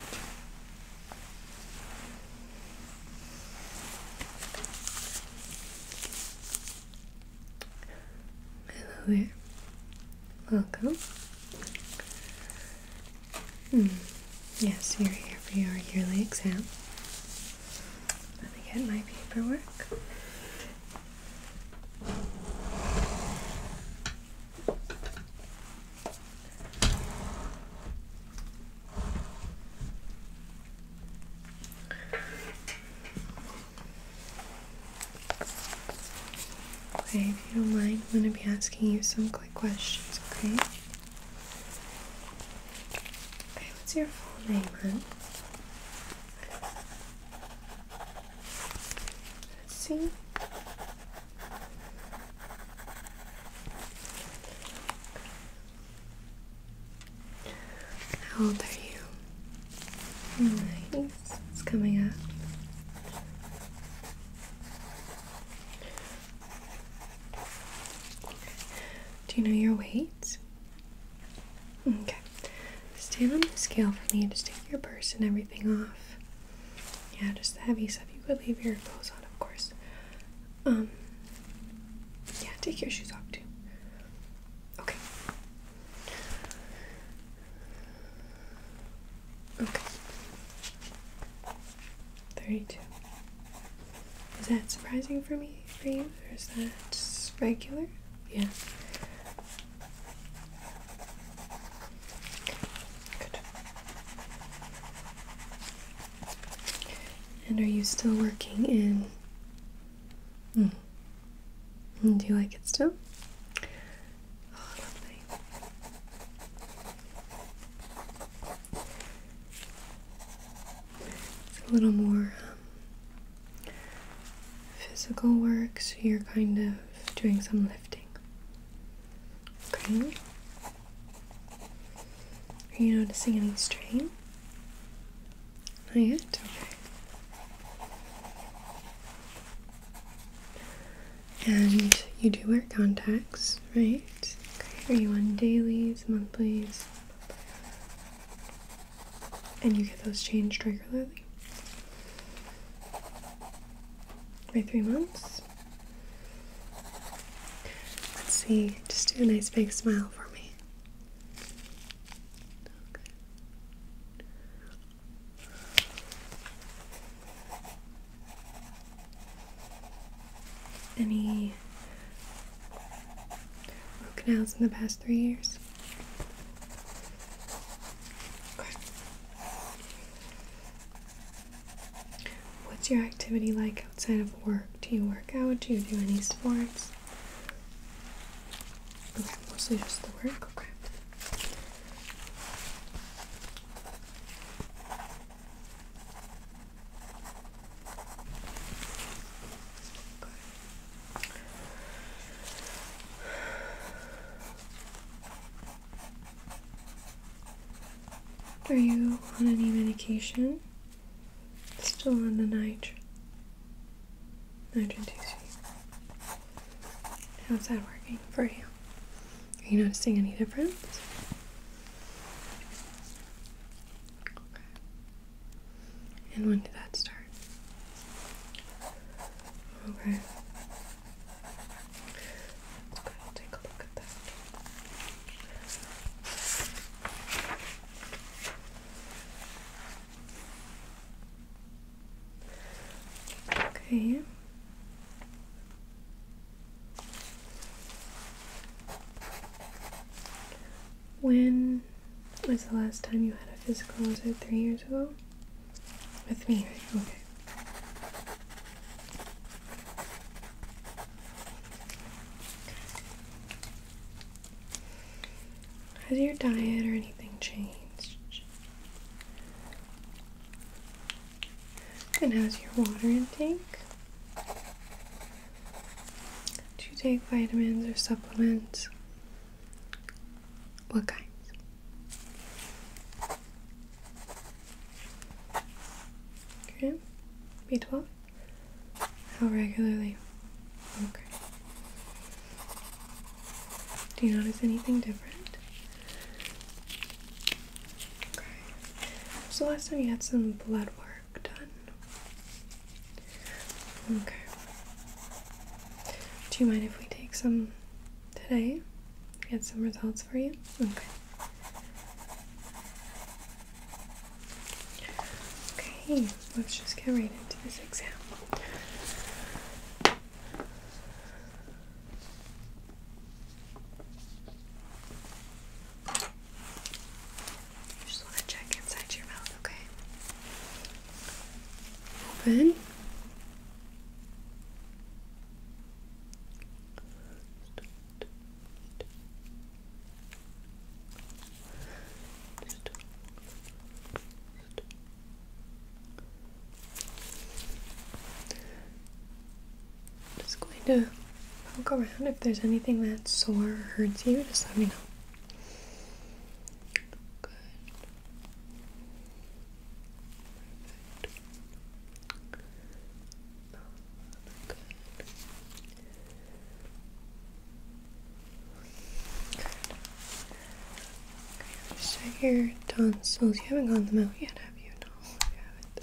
Hello there. Welcome. Hmm. Yes, you're here for your yearly exam. Let me get my paperwork. Okay, if you don't mind, I'm going to be asking you some quick questions, okay? Okay, what's your full name, hun? Let's see. How old are you? Nice. It's coming up. Do you know your weight? Okay. Stand on the scale for me. Just take your purse and everything off. Yeah, just the heavy stuff. You could leave your clothes on, of course. Um, yeah, take your shoes off too. Okay. Okay. 32. Is that surprising for me, for you? Or is that regular? Yeah. And are you still working in? Hmm, do you like it still? a little more um, physical work, so you're kind of doing some lifting. Okay. Are you noticing any strain? Not yet? Okay. And you do wear contacts, right? Okay. Are you on dailies, monthlies? And you get those changed regularly? Every three months? Let's see, just do a nice big smile for me. Any root canals in the past three years? What's your activity like outside of work? Do you work out? Do you do any sports? mostly just the work. Are you on any medication? Still on the nitrogen. Nitrogen How's that working for you? Are you noticing any difference? Okay. And when did that start? Okay. Okay, When was the last time you had a physical? Was it three years ago? With me, Okay. Has your diet or anything changed? And how's your water intake? Do you take vitamins or supplements? What kinds? Okay, B12? How regularly? Okay. Do you notice anything different? Okay. So last time you had some blood work done. Okay. Do you mind if we take some today? get some results for you? Okay. Okay, let's just get right into this exam. just want to check inside your mouth, okay? Open. Just going to poke around if there's anything that's sore hurts you, just let me know. Good. Good. your tonsils. You haven't gotten them out yet, have you? No, you haven't.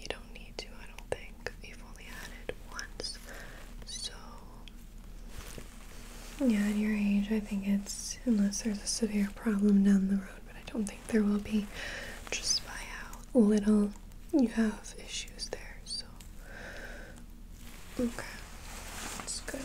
You don't need to, I don't think. You've only had it once. So, yeah, at your age, I think it's, unless there's a severe problem down the road but I don't think there will be just by how little you have issues there. So, okay, that's good. Okay.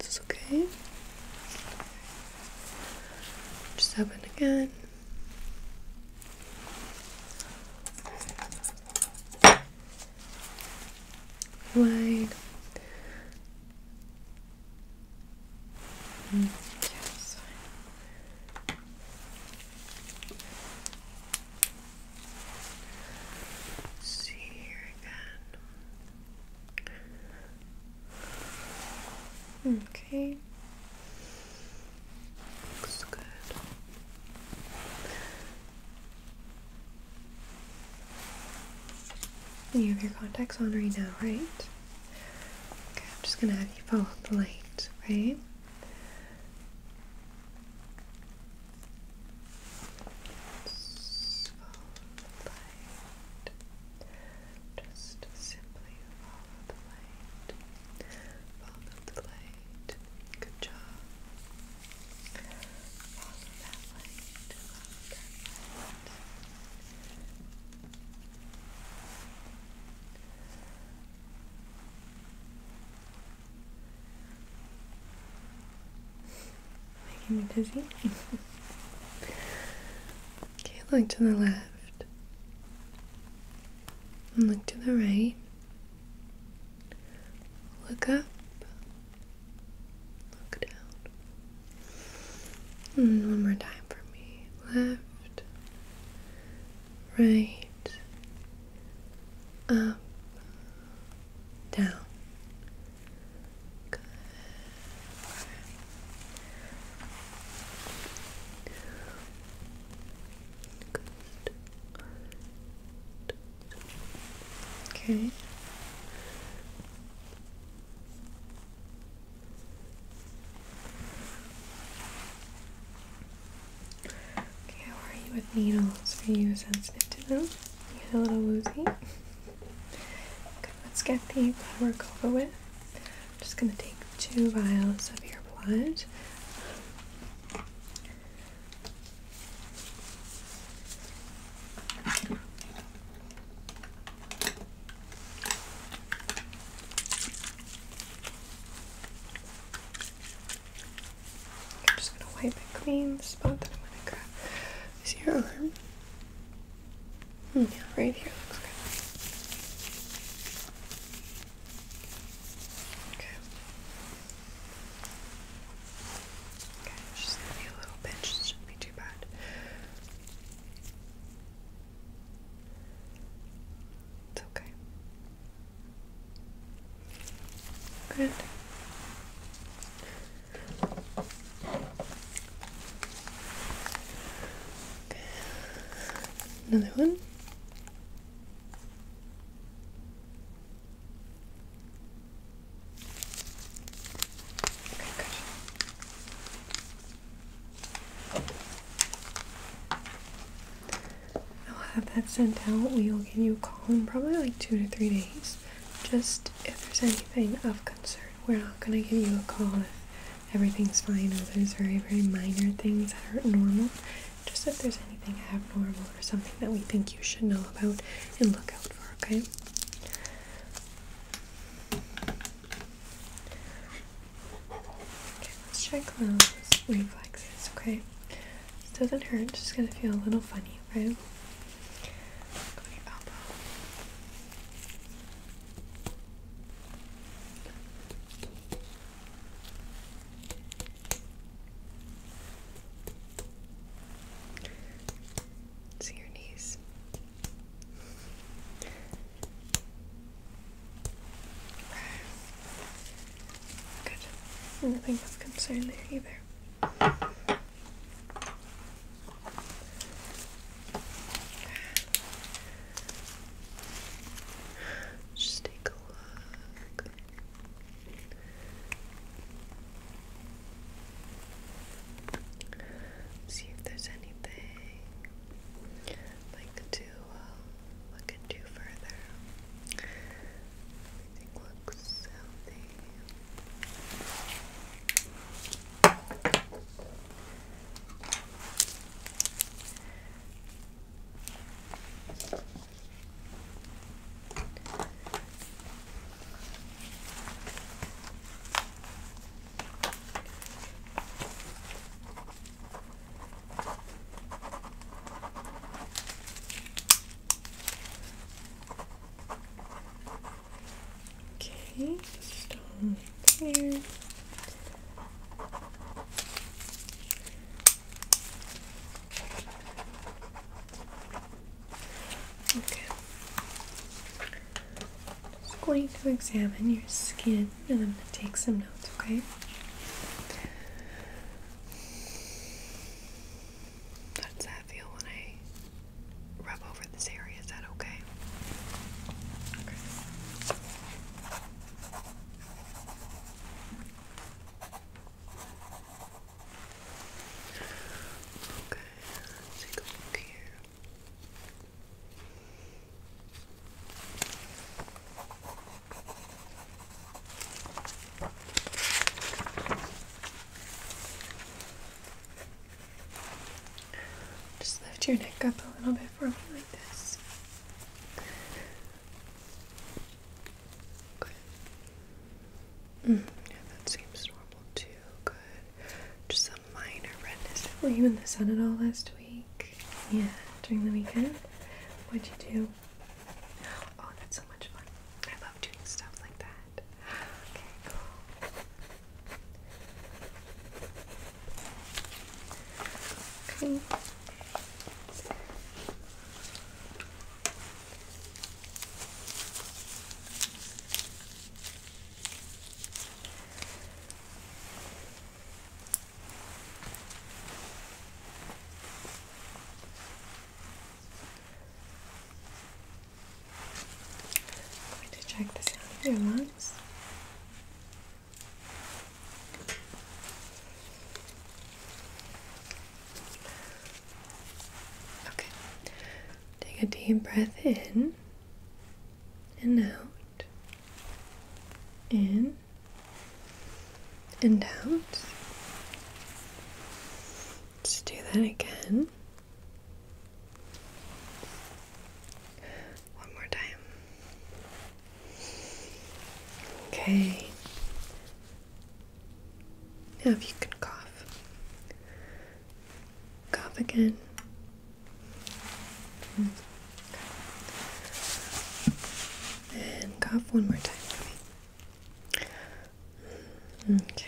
It's okay. Just open again. Wide. Mm, yes see here again. Okay. Looks good. You have your contacts on right now, right? Okay, I'm just gonna have you follow the light, right? Follow the light. Just simply follow the light. Follow the light. Good job. Follow that light. Follow that Making me dizzy. okay, look to the left. And look to the right. Look up. Look down. And one more time for me. Left. Right. Up down. Good. Good. Okay. Okay, how are you with needles? Are you sensitive to them? You get a little woozy? Okay, let's get the blood work over with. just going to take two vials of your blood. I'm just gonna wipe it clean the spot that I'm gonna grab. Is your arm? Hmm, yeah, right here looks good. Okay. Okay, just a little pinch, it shouldn't be too bad. It's okay. Good. Okay. Another one. Okay, good. I'll have that sent out. We will give you a call in probably like two to three days. Just if there's anything of concern. We're not going to give you a call if everything's fine or there's very, very minor things that aren't normal. Just if there's anything abnormal or something that we think you should know about and look out for, okay? Okay, let's check those reflexes, okay? This doesn't hurt, just gonna feel a little funny, knee See your knees. Good. Nothing concerned there either. Just take a look. See if there's anything like to uh, look into further looks healthy. Okay, stone there. Okay. just going to examine your skin and I'm going to take some notes, okay? How does that feel when I rub over this area? Is that okay? Okay. Okay, let's take a look here. Just lift your neck up a little bit for me like this. Mm, yeah, that seems normal too. Good. Just a minor redness. Were you in the sun at all last week? Yeah, during the weekend. What'd you do? Oh, that's so much fun. I love doing stuff like that. Okay, going to check the sound Okay. Take a deep breath in and out. In and out. Let's do that again. One more time. Okay. Now, if you can cough, cough again. And cough one more time for me. Okay, good.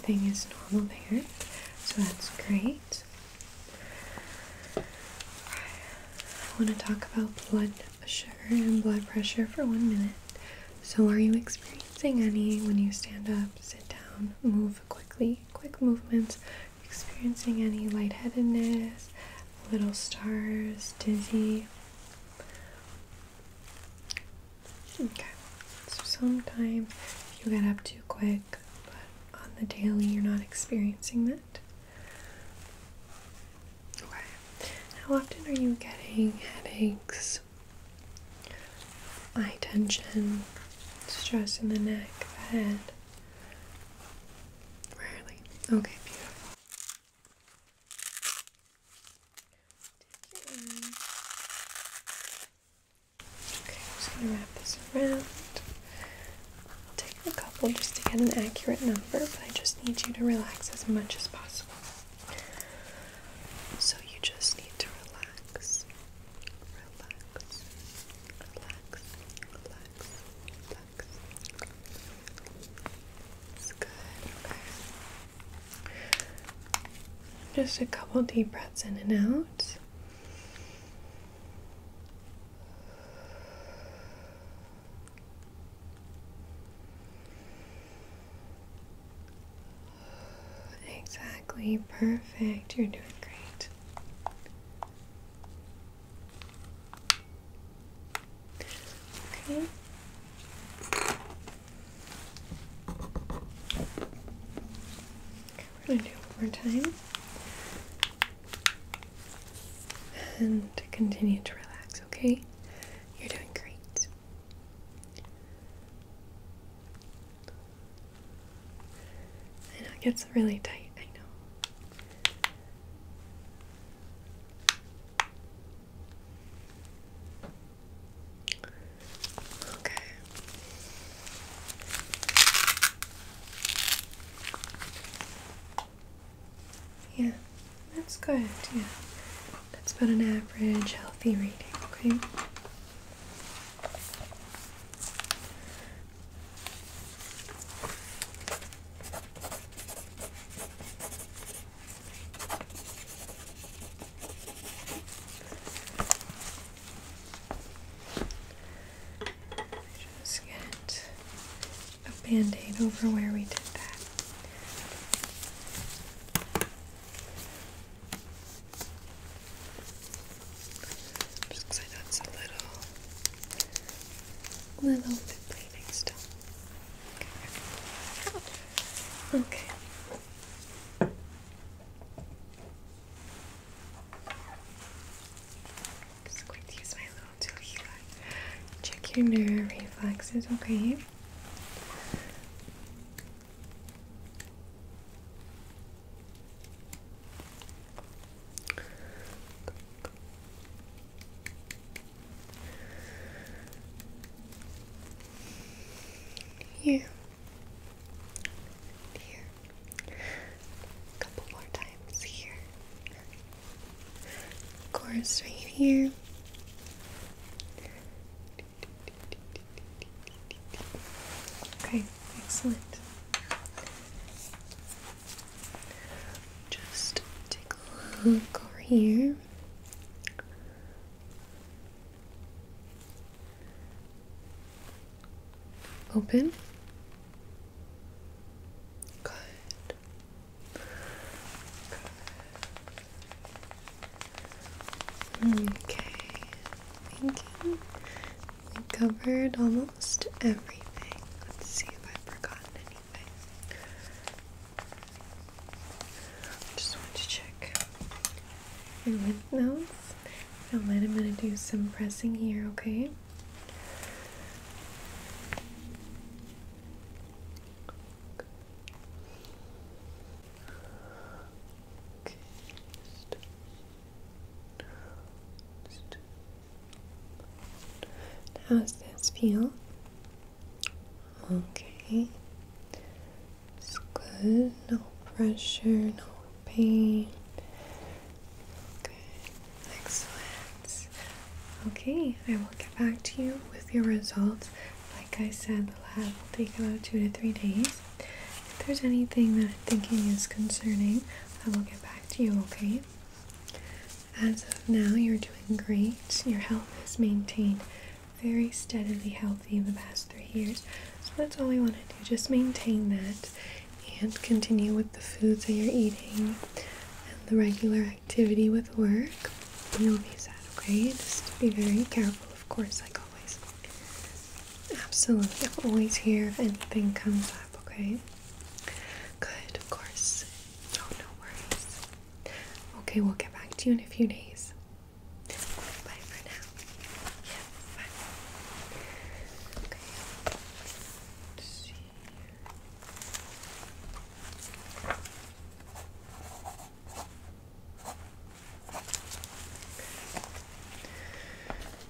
everything is normal there, so that's great. I want to talk about blood sugar and blood pressure for one minute. So, are you experiencing any when you stand up, sit down, move quickly, quick movements, experiencing any lightheadedness, little stars, dizzy. Okay, so sometimes you get up too quick, but on the daily you're not experiencing that. Okay, how often are you getting headaches, eye tension, stress in the neck, the head? Rarely. Okay, beautiful. Okay, I'm just gonna wrap this around. I'll take a couple just to get an accurate number, but I just need you to relax as much as possible. So you just need to relax. Relax relax, relax, relax. It's good, okay. Just a couple deep breaths in and out. Exactly. Perfect. You're doing great. Okay. We're going to do one more time. And continue to relax, okay? You're doing great. I it gets really tight, I know. Okay. Yeah, that's good, yeah. That's about an average healthy reading, okay? Just get a band-aid over where we did that. Just because it's a little, little bit still. Okay. Just going to use my little tool here. Check your nerve reflexes, okay? Here. And here. A couple more times here. course, right here. Okay, excellent. Just take a look over here. Open. Good. Good. Okay, thinking we covered almost everything. Let's see if I've forgotten anything. Just want to check my lymph nodes. And I'm going to do some pressing here, okay? Okay, just. How does this feel? Okay. It's good. No pressure, no pain. Okay, excellent. Okay, I will get back to you with your results. Like I said, the lab will take about two to three days. If there's anything that I'm thinking is concerning, I will get back to you, okay? As of now, you're doing great. Your health is maintained very steadily healthy the past three years. So that's all we want to do. Just maintain that and continue with the foods that you're eating and the regular activity with work. You'll be set, okay? Just be very careful, of course, like always. Absolutely. always here if anything comes up, okay? Good, of course. Oh, no worries. Okay, we'll get back to you in a few days. Bye for now. Yes, Okay. Let's see.